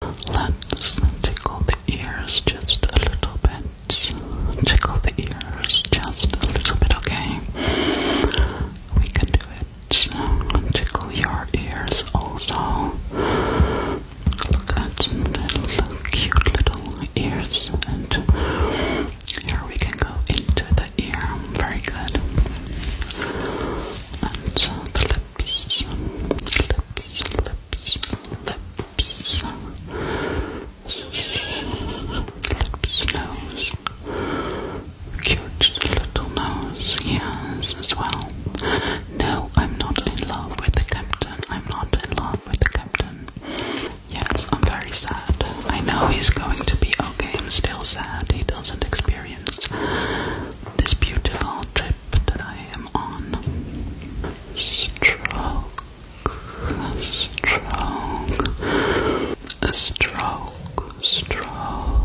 Let's tickle the ears just a little bit. Tickle the ears just a little bit, okay? We can do it. Tickle your ears also. Look at little cute little ears, and here we can go into the ear. Very good. And the lips, lips, lips, lips, lips, nose, cute little nose, yes, as well. No, I'm not in love with the captain. I'm not in love with the captain. Yes, I'm very sad. I know he's going to be okay. I'm still sad. He doesn't experience this beautiful trip type that I am on. Stroke, stroke, stroke, stroke,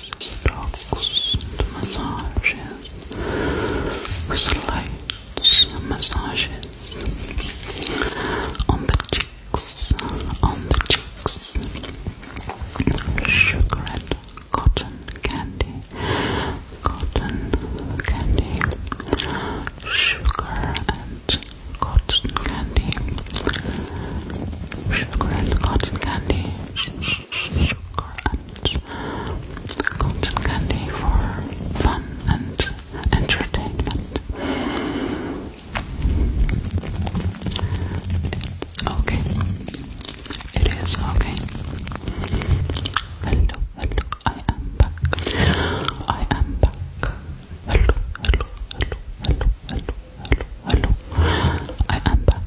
strokes massages, slight massages on the cheeks, on the cheeks. Sugar and cotton candy, cotton candy, sugar and cotton candy, sugar and cotton candy, sugar and cotton candy for fun and entertainment. okay. It is okay. Hello, hello, I am back. I am back. Hello, hello, hello, hello, hello, hello, hello. I am back.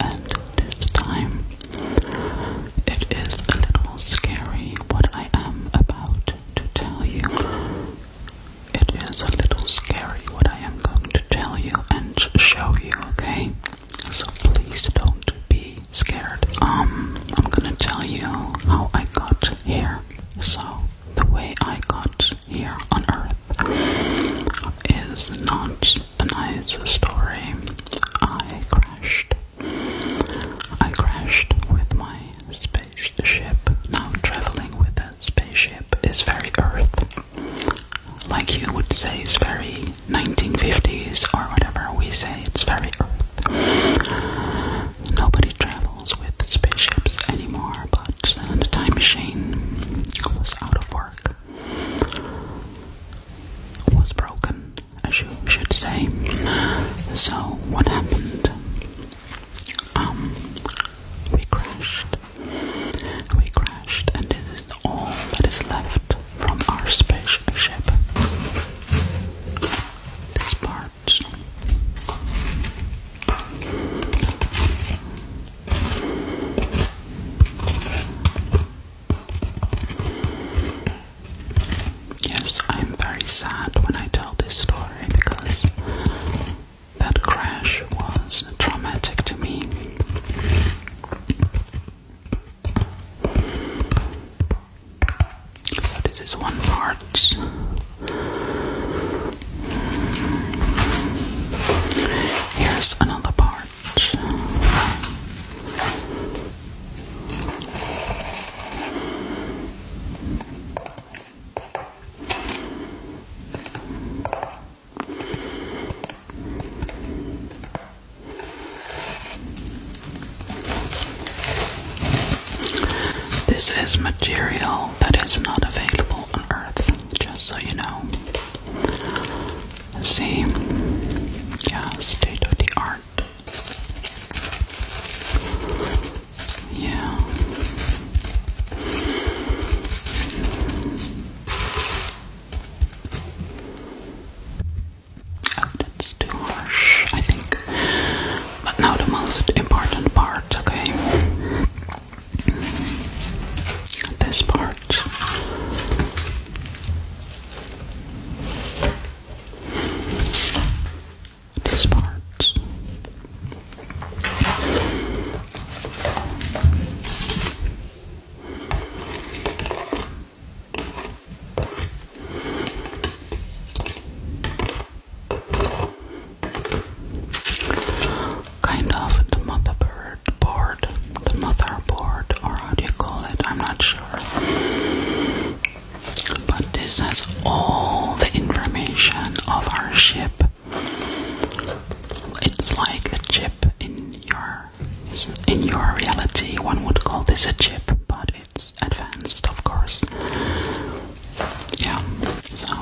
And this time it is a little scary what I am about to tell you. It is a little scary what I am going to tell you and show you, okay? So please don't be scared. Um, I'm gonna tell you how I got here. So, the way I got here on Earth is not a nice story. I crashed. I crashed with my spaceship. Now, traveling with a spaceship is very Earth like you would say, it's very 1950s or whatever we say, it's very Earth. Nobody travels with spaceships anymore, but the time machine was out of work, was broken, as you should say. So, what happened? Um, we crashed. We crashed, and this all that is left from our spaceship. These parts. Yes, I am very sad when I tell this story because that crash was traumatic to me. So this is one part. Here's another part. This is material that is not available on Earth, just so you know. See? Yeah, state of the art. Yeah that's too harsh, I think. But now the most important part, okay? This part. This part. Kind of the motherboard board, the motherboard, or how do you call it? I'm not sure. But this has all the information of our ship. It's like a chip in your in your reality. One would call this a chip, but it's advanced, of course. Yeah. So.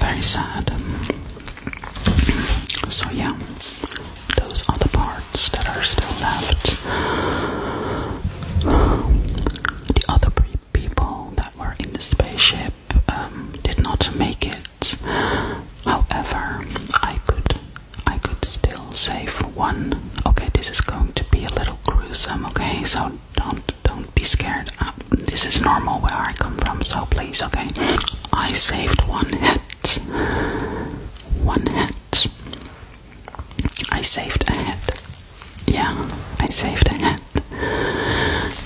Very sad. So, yeah, those are the parts that are still left. Um, the other people that were in the spaceship um, did not make it. However, I could I could still save one. Okay, this is going to be a little gruesome. Okay, so don't don't be scared. Uh, this is normal where I come from. So please, okay. I saved one head. One head. I saved a head. Yeah, I saved a head.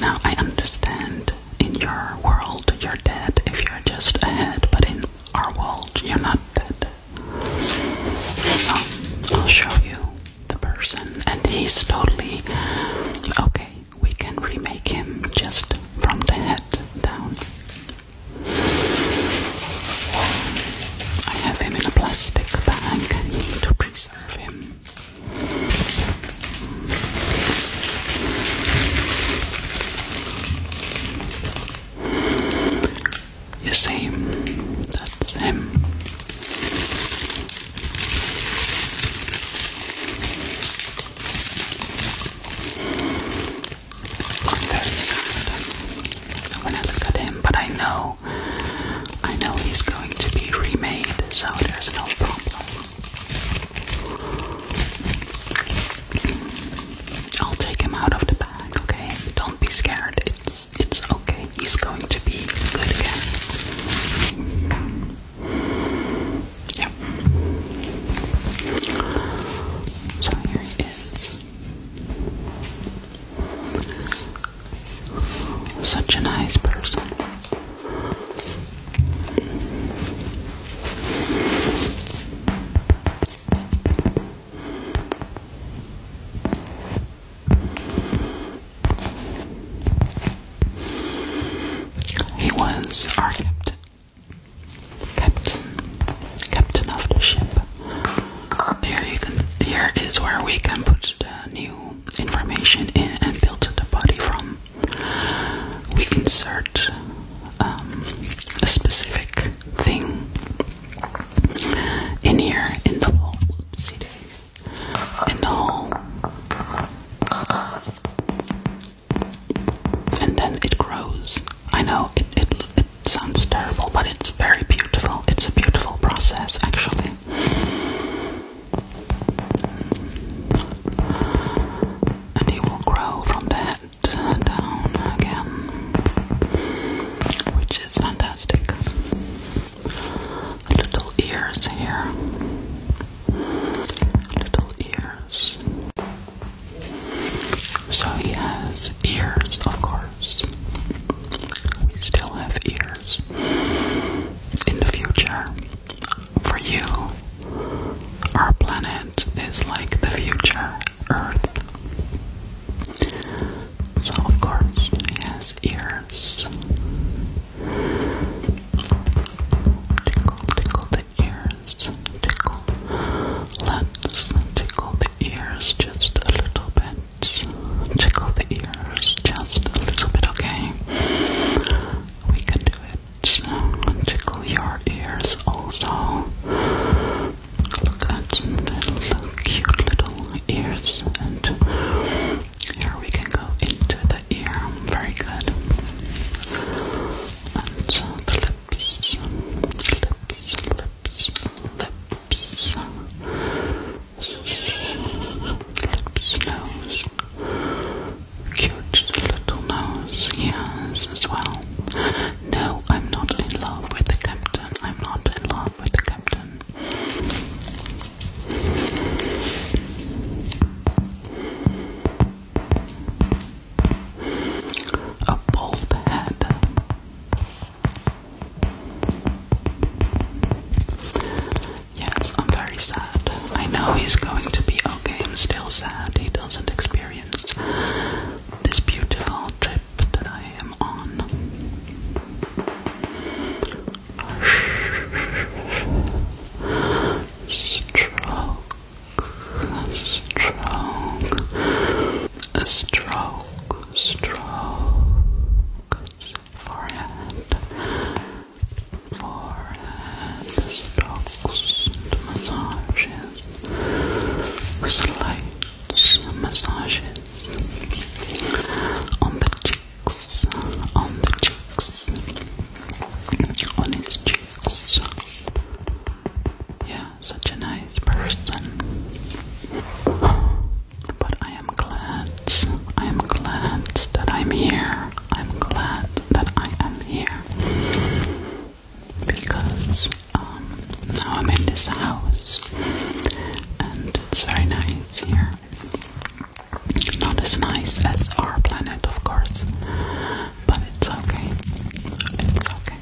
Now I understand in your world you're dead if you're just a head, but in our world you're not dead. So I'll show you the person, and he's totally okay. We can remake him just from the head down. I have him in a plastic bag to preserve him. You see, that's him. I'm very sad so when I look at him, but I know I know he's going to be remade, so there's no problem. I'll take him out of the bag, okay? Don't be scared. It's it's okay. He's going to be good again. Yeah. So here he is. Such a nice person. He was our captain, captain, captain of the ship here you can here is where we can put the new information in and build the body from we insert um, a specific thing in here in the whole see this in the whole and then it grows I know it, it sounds terrible, but it's very beautiful. It's a beautiful process, actually. And it will grow from the head down again, which is fantastic. Little ears here. Little ears. So he has ears, of course. We still have ears in the future. For you, our planet is like the future Earth. So, of course, it has ears. Tickle, tickle the ears. Tickle. Let's tickle ears just a little bit. Tickle the ears just a little bit, okay? We can do it. Tickle your ears also. Look at little cute little ears, and here we can go into the ear. Very good. And lips, lips, lips, lips lips, nose, cute little nose, yes, as well. No, I'm not in love with the captain. I'm not in love with the captain. A bald head. Yes, I'm very sad. I know he's going to be okay. I'm still sad he doesn't experience this beautiful trip that I am on. Stroke, stroke, a stroke, stroke, forehead, forehead, strokes massages, slight massages on the cheeks, on the cheeks, on his cheeks. Yeah, such a nice person. But I am glad, I am glad that I'm here. I'm glad that I am here. Because um, now I'm in this house and it's very nice here. Not as nice as our planet, of course, but it's okay. It's okay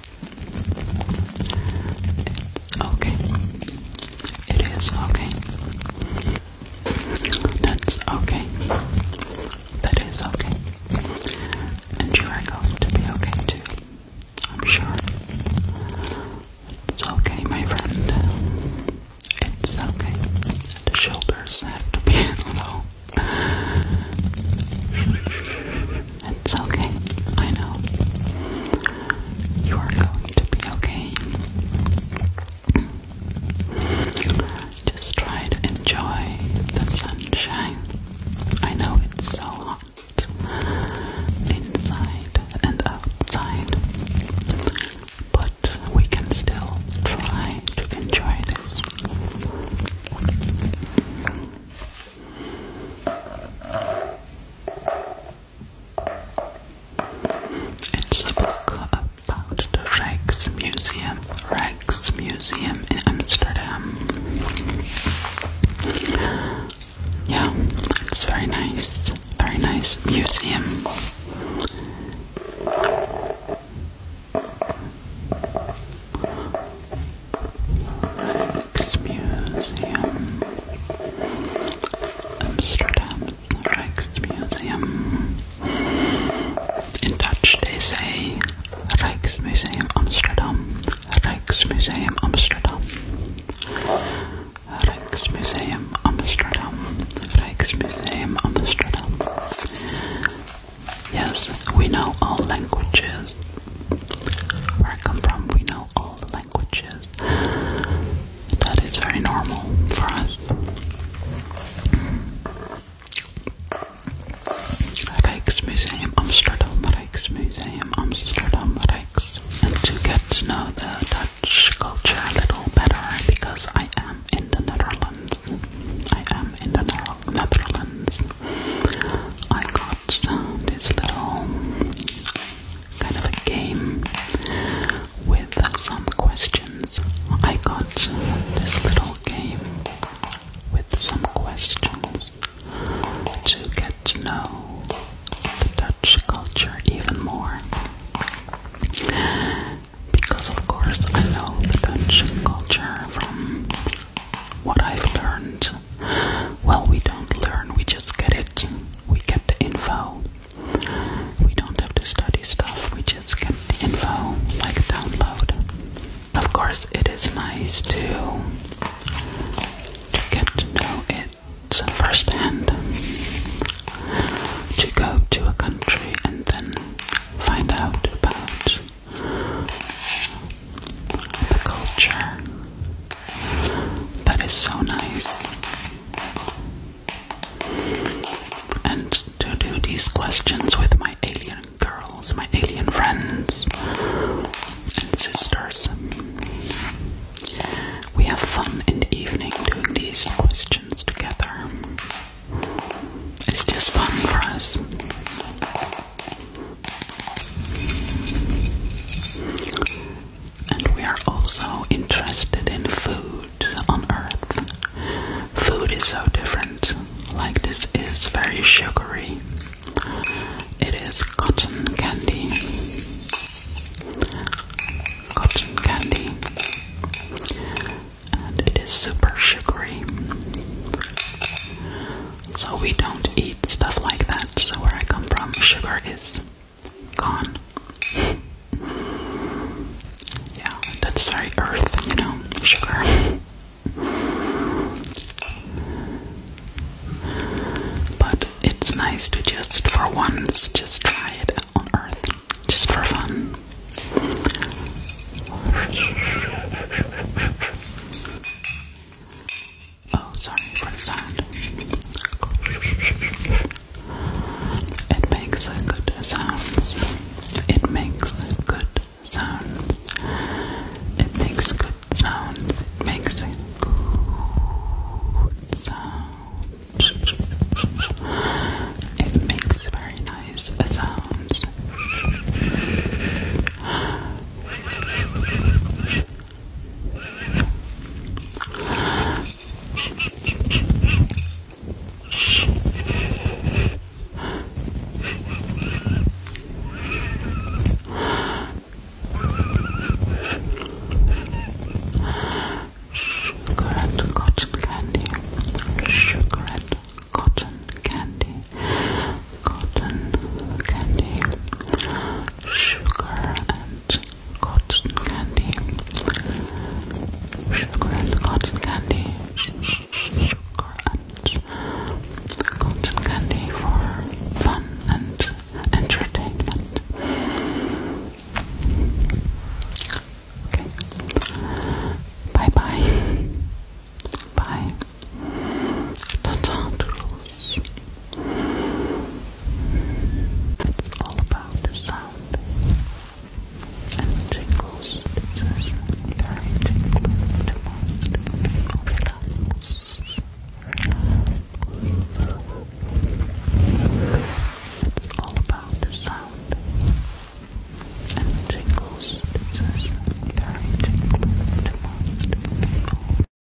okay. It is okay. That's okay. That is okay. And you are going to be okay too. I'm sure. It's okay, my friend. It's okay. The shoulders have to be low. It's okay. I know. You are going to be okay. Just try to enjoy the sunshine. I know it's so hot inside and outside, but we can still try to enjoy this. It's a book about the Museum. Rijksmuseum, Rijksmuseum in Amsterdam. Yeah, it's very nice, very nice museum. Rijksmuseum. Amsterdam's Rijksmuseum. In Dutch they say Rijksmuseum Amsterdam. Rijksmuseum Amsterdam. Rijksmuseum Amsterdam. Rijksmuseum Amsterdam. Yes, we know all languages. Where I come from, we know all languages. Which is That is very normal for us. Rijksmuseum Amsterdam, Rijksmuseum Amsterdam, Rijks. And to get to know the Dutch culture a little better, because I am in the Netherlands, I am in the Netherlands, I got this little kind of a game with some questions. I got this little game with some questions to get to know the Dutch culture even more. Because, of course, I know the Dutch culture from what I've learned well, we don't learn, we just get it. We get the info. We don't have to study stuff, we just get the info, like download. Of course, it is nice to, to get to know it firsthand. To go to a country and then find out about culture. That is so nice. And to do these questions with my alien girls, my alien friends and sisters. We have fun in the evening doing these questions together. It's just fun for us. And we are also interested in food on Earth. Food is so different. Like, this is very sugary, it is cotton candy. Cotton candy, and it is super sugary. So we don't eat stuff like that. So where I come from, sugar is gone. Yeah, that's very earth, you know, sugar. But it's nice to just for once just try it on earth, just for fun. Oh, sorry It makes a good sound. It makes a good sound. It makes good sound. It makes good sound. It makes very nice sounds. Correct cotton candy, sugar and cotton candy, cotton candy, sugar and cotton candy. Sugar and cotton candy. Sugar and cotton candy for fun and entertainment. Okay. Bye bye. Bye. Ta-ta, doodles. All about the sound and the tingles. This very tingling to most people. Relax. It's all about the sound and the tingles. This very tingling to most people.